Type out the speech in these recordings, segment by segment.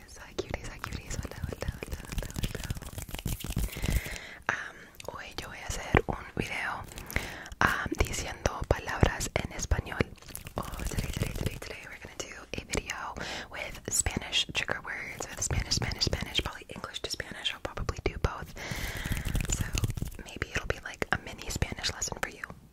cuties, hi hoy yo voy a hacer un video diciendo palabras en español. Oh, today, today, today, today, we're gonna do a video with Spanish trigger words, with Spanish, Spanish, Spanish, probably English to Spanish. I'll probably do both. So maybe it'll be like a mini Spanish lesson for you.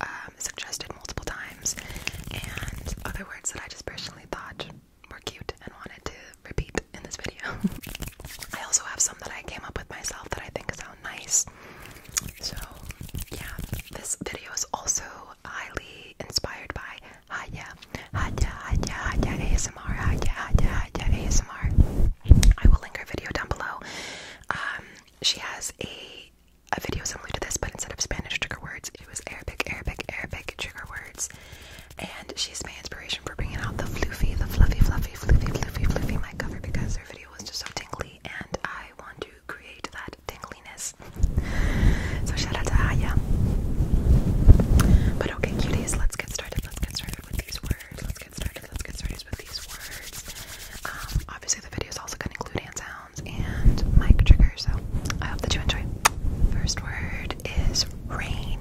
um, suggested multiple times, and other words that I just personally thought were cute and wanted to repeat in this video. I also have some that I came up with myself that I think sound nice. So, yeah, this video is also highly inspired by Haya, Haya, Haya, Haya ASMR, Haya, Haya, Haya ASMR. I will link her video down below. Um, she has a a video similar to this, but instead of Spanish trigger words, it was Arabic, Arabic, Arabic trigger words. And she's my inspiration for bringing out the floofy, the fluffy, fluffy, fluffy, fluffy, fluffy My cover because her video was just so tingly, and I want to create that tingliness. So shout out to Aya. But okay, cuties, let's get started. Let's get started with these words. Let's get started. Let's get started with these words. Um, obviously, the video is also going to include hand sounds sounds and mic triggers. So I hope that you enjoy. First word is rain.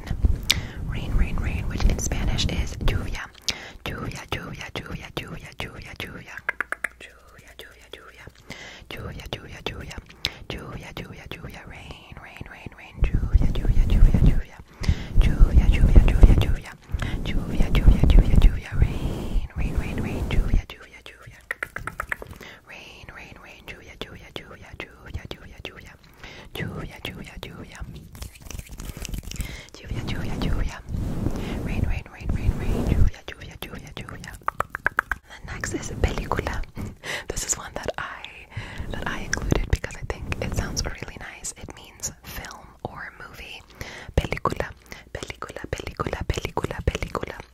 Rain, rain, rain, which in Spanish is lluvia. Lluvia, lluvia, lluvia, lluvia, lluvia, lluvia. Lluvia, lluvia, lluvia. Lluvia, lluvia, lluvia. Lluvia, lluvia, lluvia. Rain, rain, rain, rain. Lluvia, lluvia, lluvia, lluvia. Lluvia, lluvia, lluvia, lluvia. Lluvia, lluvia, lluvia, lluvia. Rain, rain, rain, rain. Lluvia, lluvia, lluvia, lluvia. Rain, rain, rain, lluvia, lluvia, lluvia, lluvia, lluvia, lluvia. Lluvia, lluvia, lluvia. Lluvia, lluvia, lluvia. Rain, rain, rain, rain, rain, lluvia, lluvia, lluvia, lluvia. The next is película. This is one that I that I included because I think it sounds really nice. It means film or movie. Película, película, película, película, película.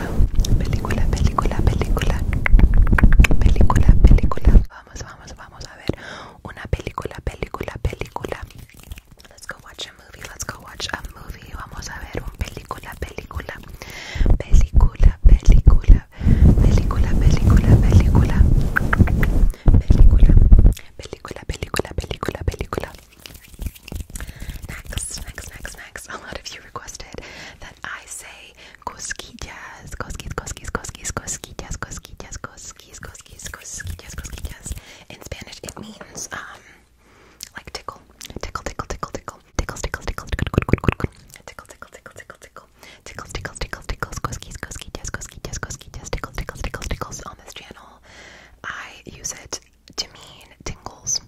película, película, película, película, película. Vamos, vamos, vamos a ver una película, película, película. Let's go watch a movie. Let's go watch a movie. Vamos a ver un película, película, película, película, película, película, película, película, película, película, película, película. Next, next, next, next. A lot of you requested that that I say cosquillas, cosquillas, cosquillas, cosquillas, cosquillas, cosquillas, cosquillas, cosquillas, cosquillas, cosquillas. In Spanish, it means um, like tickle, tickle, tickle, tickle, tickle, tickles, tickles, tickles, tickle, tickle, tickle, tickle, tickle, tickle, tickles, tickles, tickles, tickles, cosquillas, cosquillas, cosquillas, cosquillas, tickles, tickles, tickles, tickles. On this channel, I use it to mean tingles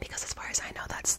because, as far as I know, that's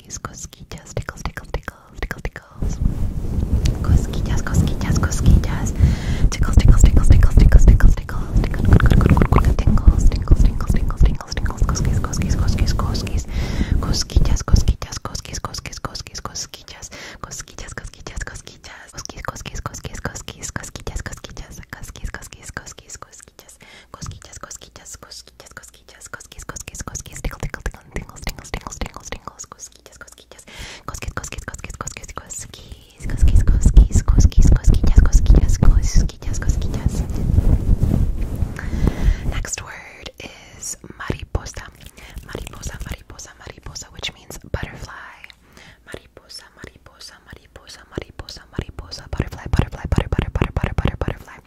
cosquillas, cosquillas, tickles, tickles, tickles, tickles, tickles. Cosquillas, cosquillas, cosquillas. Tickles, tickles, tickles, tickles, tickles, tickles, tickles, tickles, tickles, tickles, tickles, tickles, cosquillas, cosquillas, cosquillas, cosquillas. Cosquillas, cosquillas, cosquillas, cosquillas, cosquillas, cosquillas. Cosquillas, cosquillas, cosquillas. Cosquillas, cosquillas, cosquillas, cosquillas, cosquillas, cosquillas, cosquillas, cosquillas, cosquillas, cosquillas, cosquillas. Cosquillas, cosquillas, cosquillas, cosquillas, cosquillas, cosquillas, cosquillas, tickle, tickle, tickle, tingles, tingles, tingles, tingles, tingles, cosquillas, cosquillas, cosquillas, cosquillas, cosquillas, cosquillas, cosquillas, cosquillas, cosquillas, cosquillas, cosquillas, cosquillas, cosquillas, cosquillas. Next word is mariposa, mariposa, mariposa, mariposa, which means butterfly. Mariposa, mariposa, mariposa, mariposa, mariposa, butterfly, butterfly, butter, butter, butter, butter, butter, butterfly.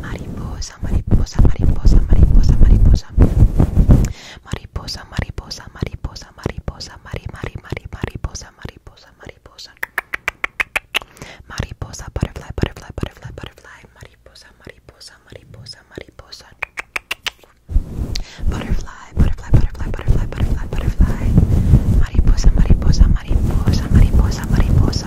Mariposa, mariposa, mariposa, mariposa, mariposa. Mariposa, mariposa, mariposa, mariposa, mari, mari, mari, mariposa, mariposa, mariposa. Mariposa, butterfly, butterfly, butterfly, butterfly. Mariposa, mariposa, mariposa, mariposa. Butterfly, butterfly, butterfly, butterfly, butterfly, butterfly. Mariposa, mariposa, mariposa, mariposa, mariposa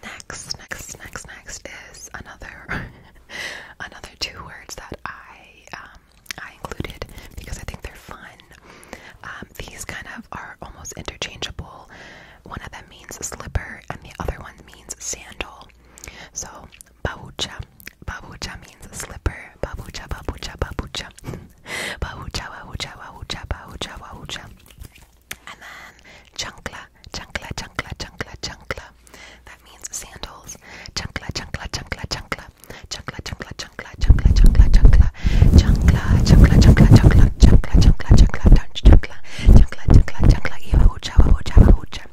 Next, next, next, next is another another two words that I um I included because I think they're fun. Um, these kind of are almost interchangeable. One of them means slipper and the other one means sandal. So babucha. Babucha means slipper. Babucha babucha babucha. babucha babucha babucha babucha babucha. And then chunkla, chunkla, chunkla, chunkla, chunkla. That means sandals. Chunkla, chunkla, chunkla, chunkla. Chunkla, chunkla, chunkla, chunkla, chunkla, chunkla. Chunkla, chunkla, chunkla, chunkla, chunkla, chunkla, chunkla, chunkla, chunkla, chunkla, chunkla. Iwa ucha, wahucha, wahucha.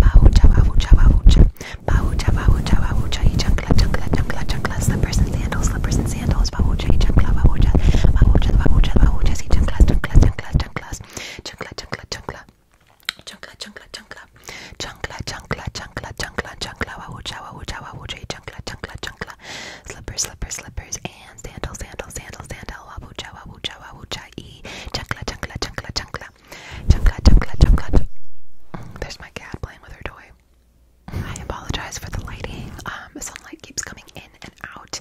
Bahucha, wahucha, wahucha. Bahucha, wahucha, wahucha. Chunkla, chunkla, chunkla, chunkla. Slippers and sandals, slippers and sandals class, babuche, chancla, babuchas, babuchas, babuchas, babuchas, y chanclas, chanclas, chanclas, chanclas, chancla, chancla, chancla, chancla, chancla, chancla, chancla, chancla, chancla, chancla, chancla, babucha, babucha, babuche, chancla, chancla, chancla, slippers, slippers, slippers, and sandals, sandals, sandals, sandal, babucha, babucha, babucha, y chancla, chancla, chancla, chancla, chancla, chancla, chancla. There's my cat playing with her toy. I apologize for the lighting. Um, sunlight keeps coming in out,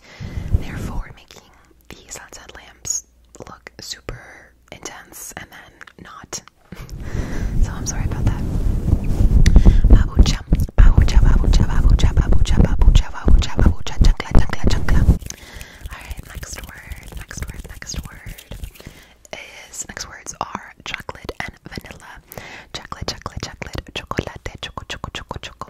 therefore making these sunset lamps look super intense and then not. so I'm sorry about that. Babucha, babucha, babucha, babucha, babucha, babucha, babucha, babucha, chunkla, chunkla, chunkla. Alright, next word, next word, next word is, next words are chocolate and vanilla. Chocolate, chocolate, chocolate, chocolate, choco, choco, choco,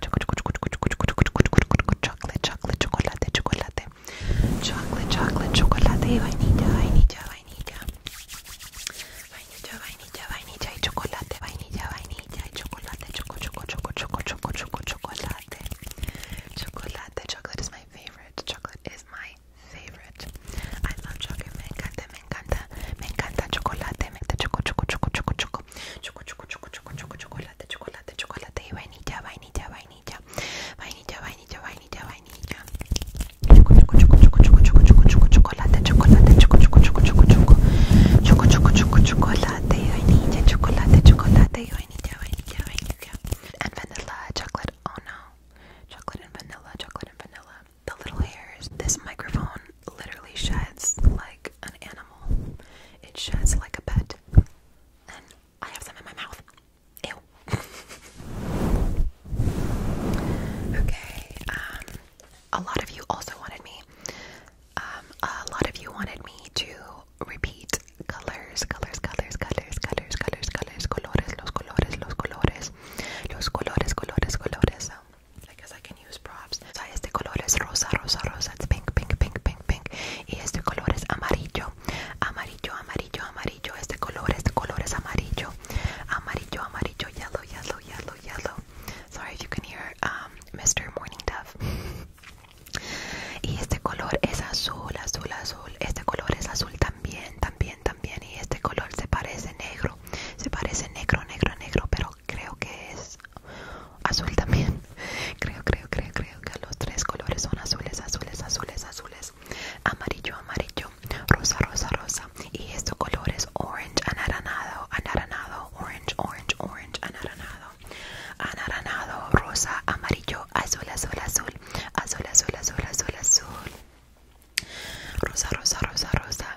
chocolate, chocolate, chocolate, chocolate, chocolate, chocolate, chocolate, chocolate, vainilla, vainilla, vainilla, vainilla, vainilla, vainilla y chocolate, vainilla, vainilla y chocolate, choco, choco, choco, choco, choco, choco, chocolate, chocolate. Chocolate is my favorite. Chocolate is my favorite. I love chocolate. Me encanta, me encanta, me encanta chocolate. Me encanta choco, choco, choco, choco, choco choco, choco, choco, choco, choco, chocolate, chocolate, chocolate y vainilla, vainilla, vainilla, vainilla, vainilla, vainilla, vainilla, choco, choco, choco, choco, choco, choco, choco, choco, chocolate, chocolate, choco, choco, choco, choco, choco, choco, choco, choco, chocolate y vainilla, chocolate, chocolate y vainilla, vainilla, vainilla, and vanilla chocolate. Oh no, chocolate and vanilla, chocolate and vanilla. The little hairs. This microphone literally sheds like an animal. It sheds like a pet. And I have some in my mouth. Ew. okay, um, a lot of you also wanted me, um, a lot of you wanted me to repeat colors, colors, colors, colors, colors, colors, colors, colores, los colores, los colores, los colores, colores, colores, so I guess I can use props. este color es rosa, rosa, rosa. It's pink, pink, pink, pink, pink. Y este color es amarillo. Amarillo, amarillo, amarillo. Este color, este color es amarillo. Amarillo, amarillo, yellow, yellow, yellow, yellow. Sorry you can hear um, Mr. Morning Dove. Y este color es azul, azul, azul. Este color es azul también, también, también. Y este color se parece negro. Se parece negro, negro, negro, pero creo que es azul también. Creo, creo, creo, creo que los tres colores son azules, azules, azules, azules. Amarillo, amarillo, rosa, rosa, rosa. Y estos colores orange, anaranado, anaranado, orange, orange, orange, anaranado. Anaranado, rosa, amarillo, azul, azul, azul. Azul, azul, azul, azul, azul. Rosa, rosa, rosa, rosa.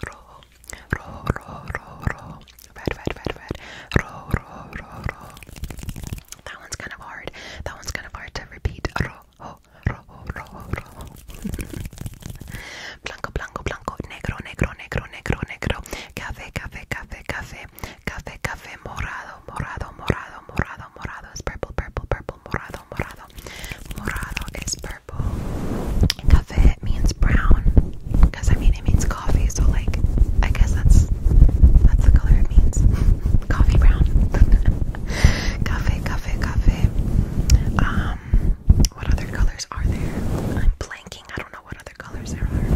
rojo, rojo, rojo, rojo, rojo, red, red, red, red, rojo, rojo, rojo, rojo. That one's kind of hard. That one's kind of hard to repeat. Rojo, rojo, rojo, rojo. blanco, blanco, blanco, negro, negro, negro, negro, negro. Café, café, café, café, café, café, morado, morado, morado, morado, morado. It's purple, purple, purple, morado morado, morado. is purple. Café means brown. Because I mean it means coffee, so like I guess that's that's the color it means. coffee brown. café, café, café. Um what other colors are there? I'm blanking. I don't know what other colors there are.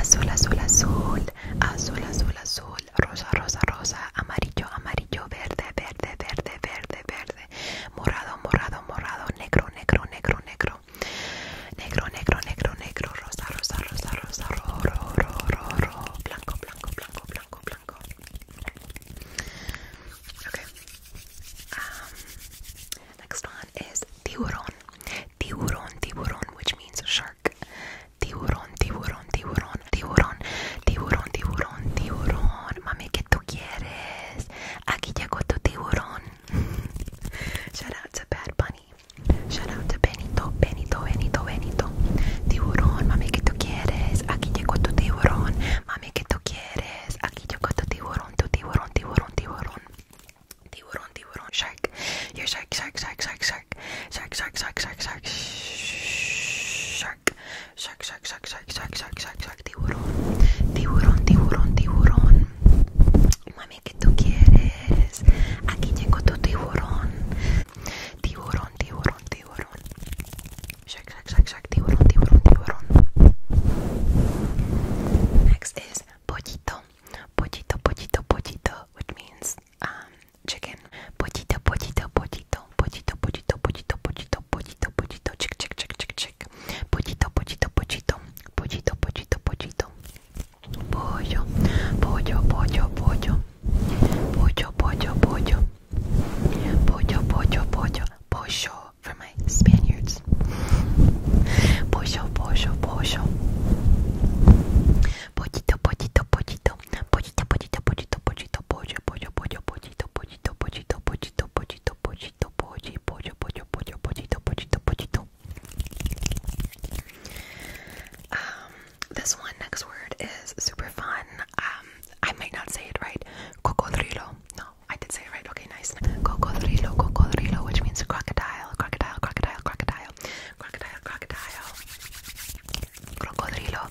Azul, azul, azul. Azul, azul, azul. rosa, rosa, rosa, amarillo, amarillo, verde, verde, verde, verde, verde, morado, morado, morado, negro, negro, negro, negro, negro, negro, negro, negro, rosa, rosa, rosa, rosa, ro, blanco, blanco, blanco, blanco, blanco. Okay. Um, next one is tiburón, tiburón, tiburón, which means shark. Tiburón, tiburón, tiburón, tiburón, tiburón, tiburón, tiburón, tiburón. Mami, ¿qué tú quieres? Aquí llegó tu tiburón. Shout out to Bad Bunny. Shout out to Benito, Benito, Benito, Benito. Tiburón, mami, ¿qué tú quieres? Aquí llegó tu tiburón. Mami, ¿qué tú quieres? Aquí llegó tu tiburón, tu tiburón, tiburón, tiburón. Tiburón, tiburón, shark. Your shark, shark, shark, shark, shark. Shark, shark, shark, shark, shark. Shark, shark, shark, shark, shark, shark, shark, shark, shark, shark, tiburón, tiburón, tiburón, tiburón. Mami, ¿qué tú quieres? Aquí llegó tu tiburón, tiburón, tiburón, tiburón. Shark, shark, shark, shark, tiburón, tiburón, tiburón. Next is pollito, pollito, pollito, pollito, which means um chicken. Potito, potito, potito, potito, potito, potito, potito, potito, potito, chick, chick, chick, chick, chick. Potito, potito, potito, potito, potito, potito. Pollo, pollo, pollo, pollo. Pollo, pollo, pollo. Pollo, pollo, pollo. Pollo for my Spaniards. Pollo, pollo, pollo. Pollito, pollito, pollito, pollito, pollito, pollito, pollito, pollo, pollo, pollo, pollito, pollito, pollito, pollito, pollito, pollito, pollo, pollo, pollo, pollo, pollito, pollito, pollito. Um, this one next word is super fun. Um, I might not say it right. Cocodrilo. No, I did say it right. Okay, nice. Cocodrilo, cocodrilo, which means crocodile, crocodile, crocodile, crocodile, crocodile, crocodile. Crocodrilo.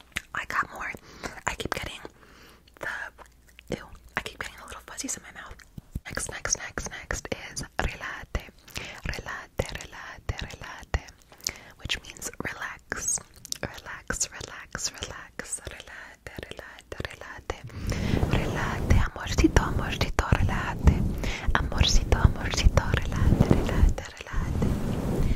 I got more. I keep getting the ew. I keep getting the little fuzzies in my mouth. Next, next, next, next is relate, relate, relate, relate, which means relax, relax, relax, relax, relate, relate, relate, relate, amorcito, amorcito, relate, amorcito, amorcito, relate, relate, relate.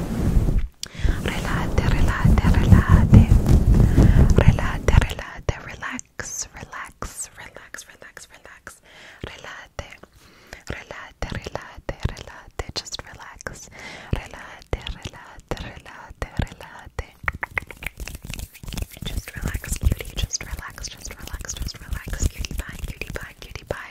Relate, relate, relate. Relate, relate, relax, relax, relax, relax, relax. Relate. Relate, relate, relate. Just relax. Relate, relate, relate, relate. Just relax, cutie. Just relax, just relax, just relax. Cutie pie, cutie pie, cutie pie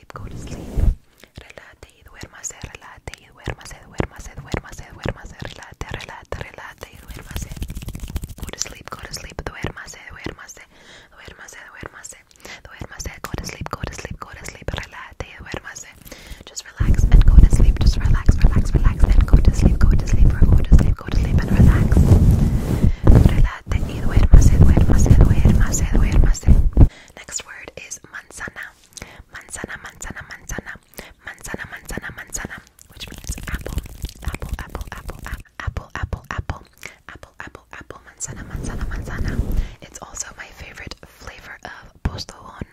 sleep, go to sleep. Relate y duérmase, relate y duérmase, duérmase, duérmase, duérmase, relate, relate, relate y duérmase. Go to sleep, go to sleep, duérmase, duérmase, duérmase, duérmase, duérmase, go to sleep, go to sleep, go to sleep, relate y duérmase. Just relax and go to sleep, just relax, relax, relax, and go to sleep, go to sleep, go to sleep, go to sleep, go to sleep and relax. Relate quédate y duérmase, duérmase, duérmase, duérmase. Next word is manzana. Manzana, manzana, manzana. Manzana, manzana, manzana. Which means apple. Apple, apple, apple, apple, apple, apple, apple, apple, apple, apple, manzana, manzana, manzana. It's also my favorite flavor of postobón.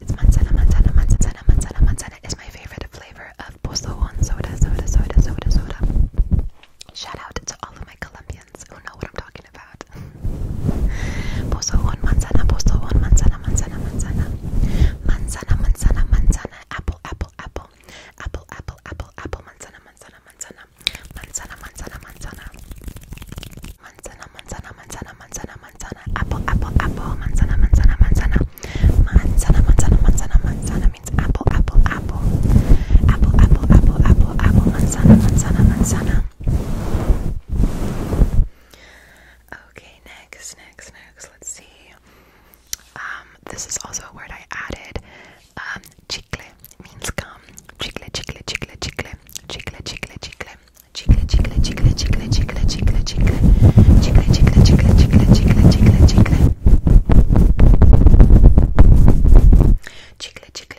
It's manzana, manzana, manzana, manzana, manzana is my favorite flavor of postobón soda, soda, soda, soda, soda. Shout out to all of my Colombia Italians who know what I'm talking about. manzana, manzana, manzana, manzana. Manzana, manzana, manzana, apple, apple, apple. Apple, apple, apple, apple, manzana, manzana, manzana. Manzana, manzana, manzana. Manzana, manzana, manzana, manzana, manzana. Apple, apple, apple, manzana, manzana, manzana. Manzana, manzana, manzana, manzana means apple apple, apple, apple. Apple, apple, apple, apple, apple, manzana, manzana, manzana. Okay, next, next, next. Let's see. Um, this is also a word I added. Um, chicle means gum. Chicle, chicle, chicle, chicle, chicle, chicle, chicle. Chicle, chicle, chicle, chicle, chicle, chicle, chicle, chicle, chicle, chicle, chicle, chicle, chicle, chicle, chicle, chicle,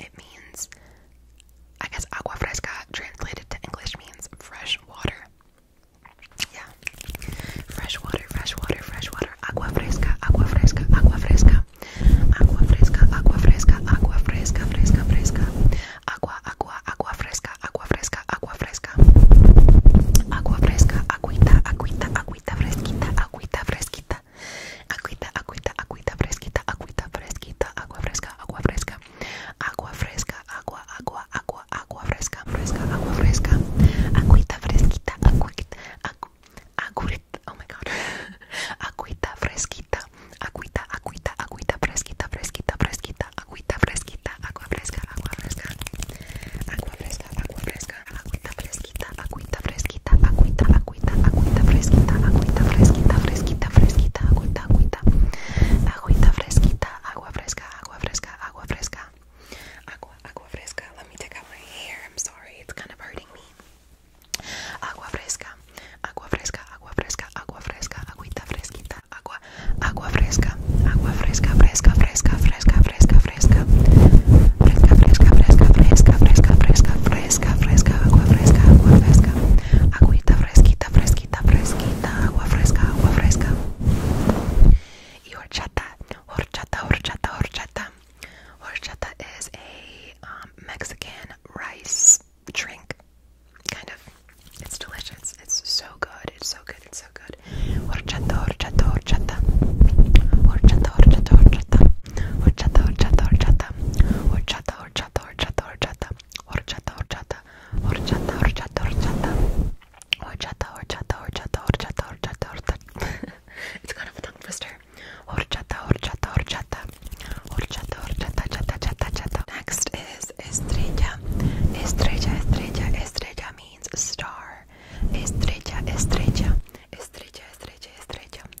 It means, I guess, agua fresca translated to English means fresh water. Yeah, fresh water, fresh water, fresh water. Agua fresca, agua fresca, agua fresca. Agua fresca, agua fresca, agua fresca, fresca, fresca. Agua, agua, agua fresca, agua fresca, agua fresca. Agua fresca, agüita, agüita, agüita fresquita, agüita fresquita, agüita, agüita, agüita, fresquita, agüita fresquita, agua fresca, agua fresca, agua fresca, agua, agua, agua, agua fresca, fresca, agua fresca, agüita fresquita, agüita, Aguita oh my god, agüita fresquita, agüita, agüita, agüita fresquita, fresquita, fresquita, agüita fresquita, agua fresca, agua fresca, agua fresca, agua fresca, agüita fresquita, agüita fresquita, agüita, agüita, agüita fresquita, agüita fresquita, fresquita, fresquita, agüita, agüita, agüita fresquita, agua fresca, agua fresca, agua fresca, agua, agua fresca. Let me take out my hair. I'm sorry, it's kind of hurting me. Agua fresca, agua fresca, agua fresca, agua fresca, agüita fresquita, agua, agua fresca, agua fresca, fresca, fresca, fresca, fresca, fresca, fresca, fresca, fresca, fresca, fresca, fresca, fresca fresca, fresca, agua fresca, agua fresca, agüita fresquita, fresquita, fresquita, agua fresca, agua fresca. Y horchata, horchata, horchata, horchata. Horchata is a um, Mexican rice drink, kind of. It's delicious. It's so good. It's so good. It's so good. Horchata, horchata, horchata. Horchata, horchata, horchata. Horchata, horchata, horchata. Horchata, horchata, horchata, horchata, horchata, horchata, horchata, horchata, horchata, horchata, horchata, horchata, horchata, horchata, horchata, horchata. It's kind of a tongue twister. Horchata, horchata, horchata, horchata, horchata, chata, chata, chata. Next is estrella, estrella, estrella, estrella means star. Estrella, estrella, estrella, estrella, estrella.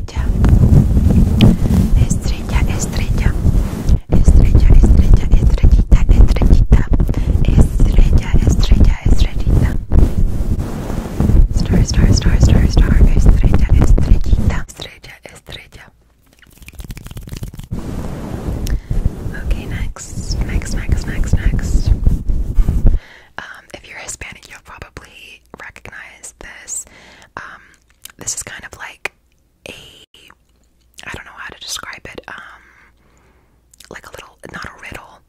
estrella, estrella, estrella, estrella, estrellita, estrellita, estrella, estrella, estrellita. Star, star, star, star, star, estrella, estrellita, estrella, estrella. Okay, next, next, next, next, next. Um, if you're Hispanic, you'll probably recognize this. Um, this is kind of like a I don't know how to describe it, um like a little not a riddle,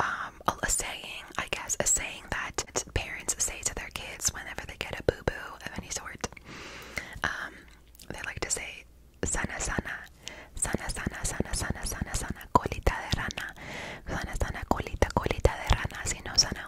um a, a saying, I guess, a saying that parents say to their kids whenever they get a boo-boo of any sort. Um they like to say sana sana sana sana sana sana sana sana colita de rana sana sana colita colita de rana sino sana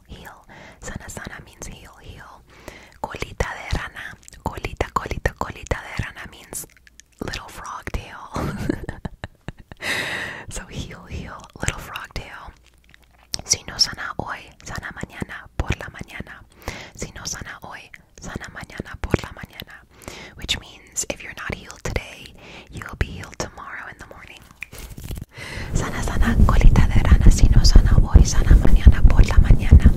heal, Sana, sana means heal, heal. Colita de rana, colita, colita, colita de rana means little frog tail. so heal, heal, little frog tail. Si no sana hoy, sana mañana, por la mañana. Si no sana hoy, sana mañana, por la mañana. Which means if you're not healed today, you'll be healed tomorrow in the morning. Sana, sana, colita de rana, si no sana hoy, sana mañana por la mañana.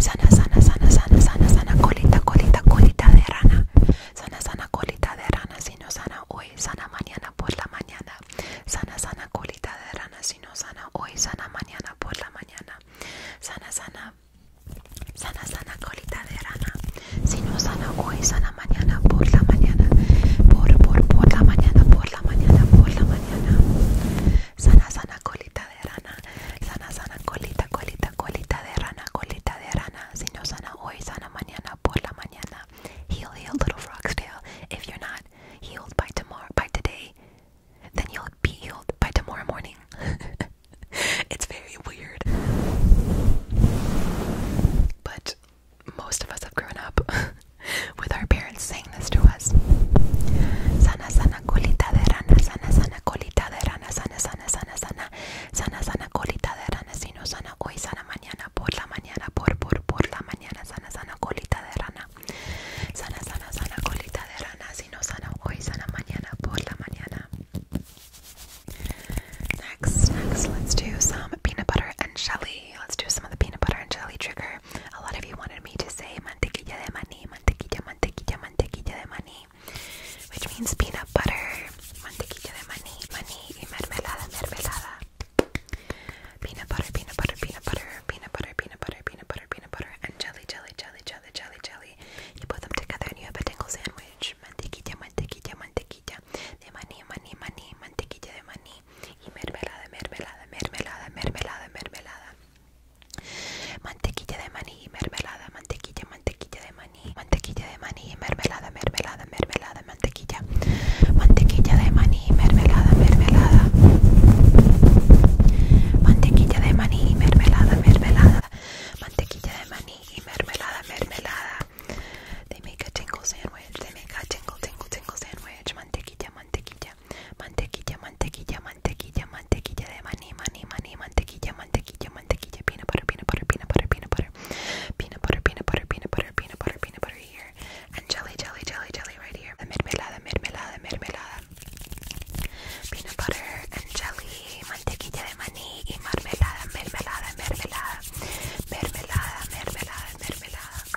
Sana, sana, sana, sana, sana, sana, colita, colita, colita de rana. Sana, sana, colita de rana, si no sana hoy, sana mañana por la mañana. Sana, sana, colita de rana, si no sana hoy, sana mañana por la mañana. Sana, sana, sana, sana, colita de rana. Si no sana hoy, sana la mañana, por la mañana, por, por, por la mañana, por la mañana, por la mañana. Sana, sana, colita de rana, sana, sana, colita, colita, colita de rana, colita de rana. Si no sana hoy, sana mañana, por la mañana. Heal, heal, little frog's tail. If you're not healed by tomorrow, by today, then you'll be healed by tomorrow morning. it's very weird. But most of us have grown up with our parents saying this to us. Sana sana colita de rana, sana sana colita de rana, sana sana sana sana, sana sana colita de rana, sino sana hoy, sana mañana, por la mañana, por por por la mañana, sana sana colita de rana, sana sana sana colita de rana, sino sana hoy, sana mañana, por la mañana. Next, next, let's do some peanut butter and jelly Let's do some of the peanut butter and jelly trigger. A lot of you wanted me to say mantequilla de maní, mantequilla, mantequilla, mantequilla de maní, which means peanut butter, mantequilla de maní, maní y mermelada, mermelada. Peanut butter, peanut butter, peanut butter, peanut butter, peanut butter, peanut butter, peanut butter, and jelly, jelly, jelly, jelly, jelly, jelly. You put them together and you have a tingle sandwich. Mantequilla, mantequilla, mantequilla. De maní, maní, maní, mantequilla de maní. y mermelada, mermelada, mermelada, mermelada, mermelada. Mantequilla de maní y mermelada, mantequilla, mantequilla de maní, mantequilla de maní y mermelada, mermelada, mermelada, mantequilla. Mantequilla de maní y mermelada, mermelada. Mantequilla de maní y mermelada, mermelada. Mantequilla de maní y mermelada, mermelada. They make a tingle sandwich. They make a tingle, tingle, tingle sandwich. Mantequilla, mantequilla, mantequilla, mantequilla, mantequilla, mantequilla de maní, maní, maní, mantequilla, mantequilla, mantequilla, peanut butter, peanut butter, peanut butter, peanut butter, peanut butter, peanut butter, peanut butter, peanut butter, peanut butter here, and jelly, jelly, jelly, jelly right here. mermelada, mermelada, mermelada, peanut butter and jelly, mantequilla de maní y mermelada, mermelada, mermelada, mermelada, mermelada, mermelada.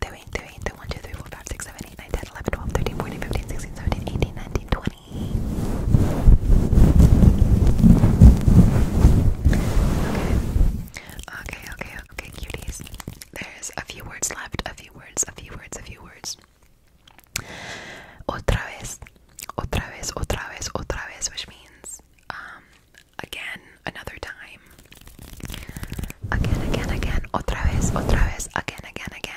20, Okay. Okay, okay, cuties. There's a few words left, a few words, a few words, a few words. Otra vez, otra vez, otra vez, otra vez, which means again, another time. Again, again, again, otra vez, otra vez, again, again, again.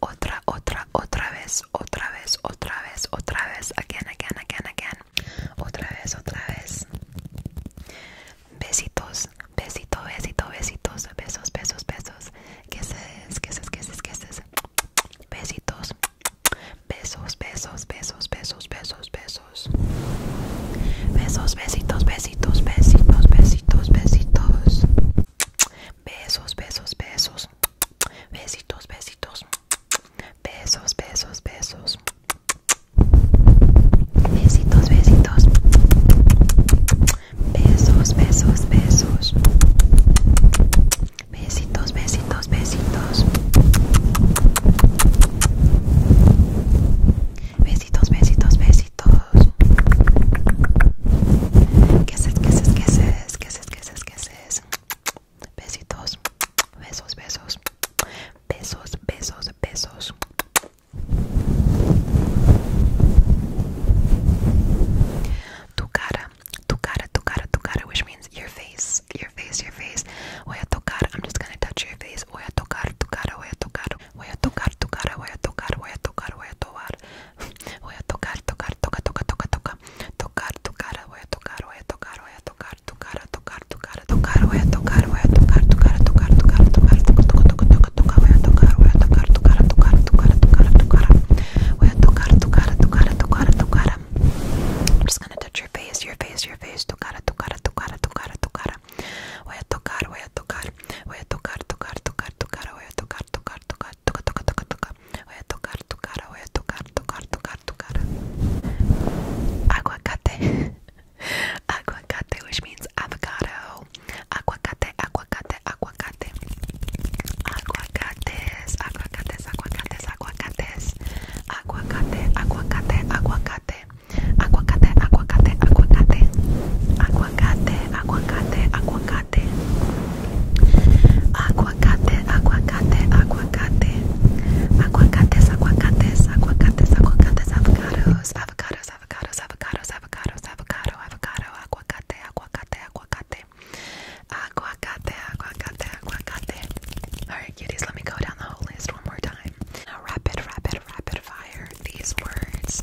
otra, otra, otra vez, otra vez, otra vez, otra vez, again, again, again, again, otra vez, otra vez. Besitos, besito, besito, besitos, besos, besos, besos, es besitos, besos, besos, besos, besos, besos, besos, besos, besitos, besitos, besitos, besitos, besitos. Besos, besos, besos. Besitos, besitos. Besos, besos, besos. Besitos, besitos. Besos, besos, besos. Besitos, besitos, besitos. Besitos, besitos, besitos. gostoso. Esquece, esquece, esquece, esquece, esquece, esquece. Besitos, besos, besos, besos, besos, besos. Tukara, tukara, tukara, tukara, which means your face, your face, your face. Voy a tocar, I'm just gonna touch your face. Voy a tocar, tukara, voy a tocar, voy a tocar, tukara, voy a tocar, voy a tocar, voy a tocar, voy a tocar, tocar, toca, toca, toca, toca, tocar tu cara, voy a tocar, voy a tocar, voy a tocar tu cara, tocar tu cara, tocar, voy a tocar, voy a tocar tu cara, tocar tu cara, tocar, toca, toca, toca, toca, toca, voy a tocar, voy a tocar tu cara, tocar tu cara, tocar tu cara, voy a tocar tu cara, tu cara, tu cara, tu cara. I'm just gonna touch your face, your face, your face, tu cara, tu cara, tu cara, tu cara, tu cara. Voy a tocar, voy a tocar, voy a tocar, tocar, tocar, tu cara, voy a tocar tocar, tocar, tocar, tocar, tocar, tocar, tocar. Voy a tocar tu cara, voy a tocar, tocar, tocar tu cara. Aguacate. aguacate, which means avocado. Aguacate, aguacate, aguacate. Aguacates, aguacates, aguacates, aguacates. Aguacate, aguacate, aguacate. Aguacate, aguacate, aguacate. Aguacate, aguacate, aguacate aguacate, aguacate, aguacate, aguacate, aguacates, aguacates, aguacates, aguacates, avocados, avocados, avocados, avocados, avocados, avocado, avocado, aguacate, aguacate, aguacate, aguacate, aguacate, aguacate. All right, cuties, let me go down the whole list one more time. Now, rapid, rapid, rapid fire. These words.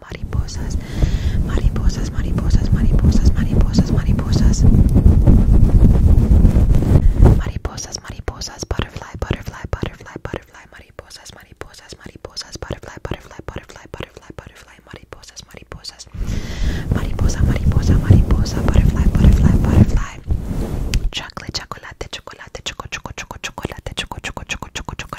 mariposas, mariposas, mariposas, mariposas, mariposas, mariposas, mariposas, mariposas, butterfly, butterfly, butterfly, butterfly, mariposas, mariposas, mariposas, butterfly, butterfly, butterfly, butterfly, butterfly, mariposas, mariposas, mariposa, mariposa, mariposa, butterfly, butterfly, butterfly, chocolate, chocolate, chocolate, choco, choco, choco, chocolate, choco, choco, choco, choco,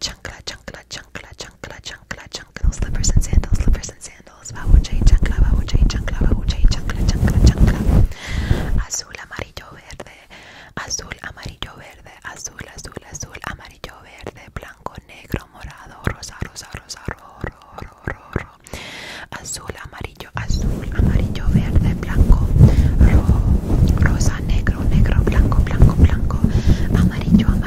chancla, chancla, chancla, chancla, chancla, chancla, chancla, slippers and sandals, slippers and sandals, chancla, chancla, chancla, chancla, chancla, chancla, azul, amarillo, verde, azul, amarillo, verde, azul, azul, azul, amarillo, verde, blanco, negro, morado, rosa, rosa, rosa, ro, ro, ro, ro, azul, amarillo, azul, amarillo, verde, blanco, ro, rosa, negro, negro, blanco, blanco, blanco, amarillo, amarillo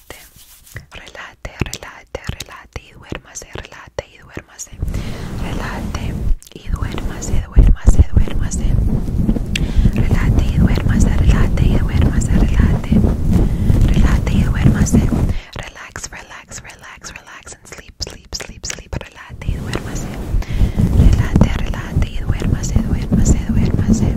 relate, relate, relate, relate y duérmase, relate y duérmase, relate y duérmase, duerma duérmase, relate y duérmase, relate y se, relate, relate y duérmase, relax, relax, relax, relax and sleep, sleep, sleep, sleep, relate y duérmase, relate, relate y duérmase, duérmase, duérmase.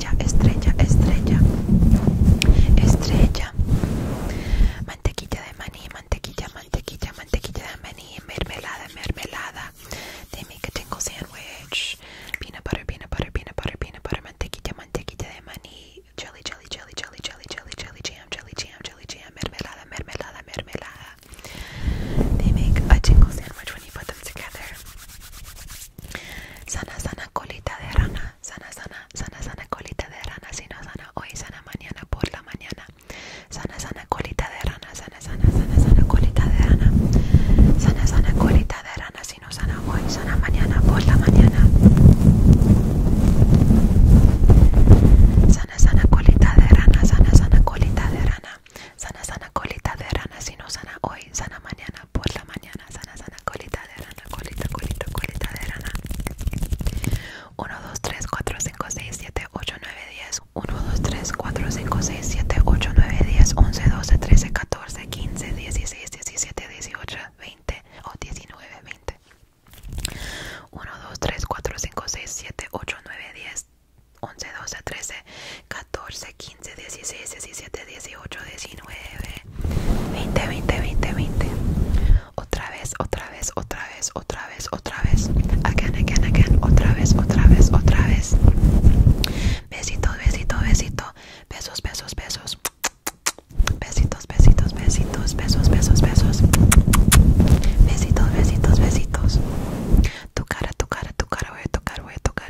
estrella, estrella, estrella, mantequilla de maní, mantequilla, mantequilla, mantequilla de maní, mermelada, mermelada. They make a tingle sandwich, peanut butter, peanut butter, peanut butter, peanut butter, mantequilla, mantequilla de maní, jelly, jelly, jelly, jelly, jelly, jelly jam, jelly jam, jelly jam, mermelada, mermelada, mermelada. They make a tingle sandwich when you put them together. Sana, sana, colita de rana. Sana, sana, sana, sana, colita de rana. Si sana hoy, sana mañana por la mañana. Sana, sana, colita de rana. Sana, sana, sana, sana, colita de rana. Sana, sana, colita de rana. Sinosana sana hoy, sana mañana por la mañana. Sana, sana, colita de rana. Sana, sana, colita de rana. Sana, sana, colita de rana. sino sana hoy, sana mañana por la mañana, sana, sana, colita de rana, colita, colita, colita de rana. 1, 2, 3, 4, 5, 6, 7, 8, 9, 10. 1, 2, 3, 4, 5, 6, 7, 8, 9, 10, 11, 12, 13, 14, 15, 16, 17, 18, 20 o 19, 20. 1, 2, 3, 4, 5, 6, 7, 8, 9, 10, 11, 12, 13, 14, 15, 16, 17, 18, 19, 20, 20, 20, 20. Otra vez, otra vez, otra vez, otra vez, otra vez. Again, again, again. Otra vez, otra vez, otra vez. Besitos, besito, besito. Besos, besos, besos. Besitos, besitos, besitos, besos, besos, besos. Besitos, besitos, besitos. Tu cara, tu cara, tu cara, voy a tocar, voy a tocar.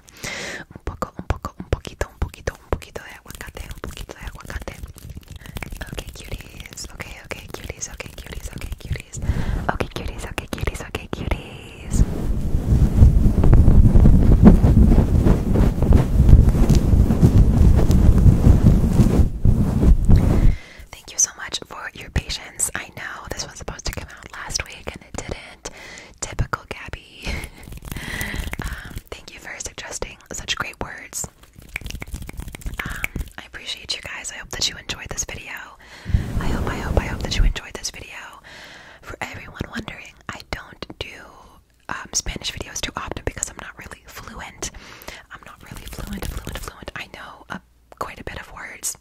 sea un poco, un poco, un poquito, Okay, cuties. Okay, cuties. Okay, cuties. Okay, cuties. Okay, cuties. Okay, cuties. Okay, cuties. Thank you so much for your patience. I know this was supposed to come out last week, didn't. Typical Gabby. Um, thank you for suggesting such great words. Um, I appreciate you guys. I hope that you enjoyed this video. I hope, I hope, I hope that you enjoyed this video. For everyone wondering, I don't do um, Spanish videos too often because I'm not really fluent. I'm not really fluent, fluent, fluent. I know a, uh, quite a bit of words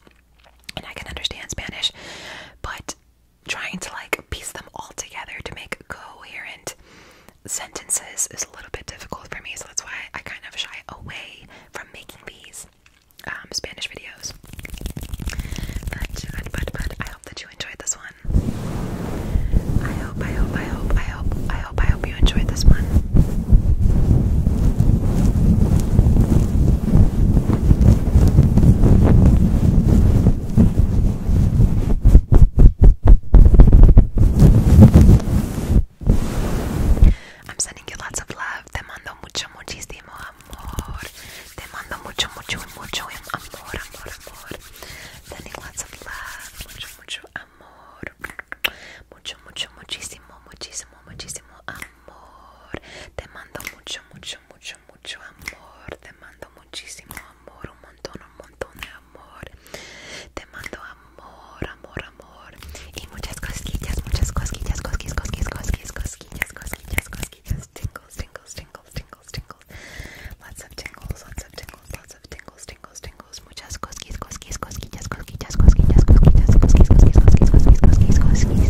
and I can understand Spanish, but trying to like piece them all together to make coherent sentences is a little bit difficult for me, so that's why I kind of shy away from making these um, Spanish videos. But, but, but, I hope that you enjoyed this one. I hope, I hope, I hope, I hope, I hope, I hope you enjoyed this one. I'm sending you lots of love. Te mando mucho, muchísimo amor. Te mando mucho, mucho, mucho amor, amor, amor. Sending lots of love. Mucho, mucho amor. Mucho, mucho, muchísimo, muchísimo, muchísimo amor. Te mando mucho, mucho, mucho mucho, mucho amor. Te mando muchísimo amor, un montón, un montón de amor. Te mando amor, amor, amor. Y muchas cosquillas, muchas cosquillas, cosquillas, cosquillas, cosquillas, cosquillas, cosquillas, cosquillas. Tingles, tingles, tingles, tingles, tingles. Lots of tingles, lots of tingles, lots of tingles, tingles, tingles. Muchas cosquillas, cosquillas, cosquillas, cosquillas, cosquillas, cosquillas, cosquillas, cosquillas, cosquillas, cosquillas, cosquillas, cosquillas.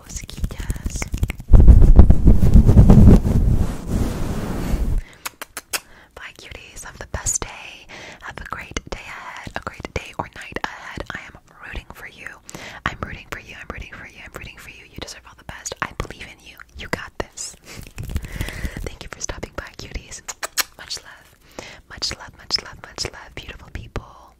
cosquillas. cuties. Have the best day. Have a great day ahead, a great day or night ahead. I am rooting for you. I'm rooting for you. I'm rooting for you. I'm rooting for you. You deserve all the best. I believe in you. You got this. Thank you for stopping by, cuties. Much love. Much love, much love, much love, beautiful people.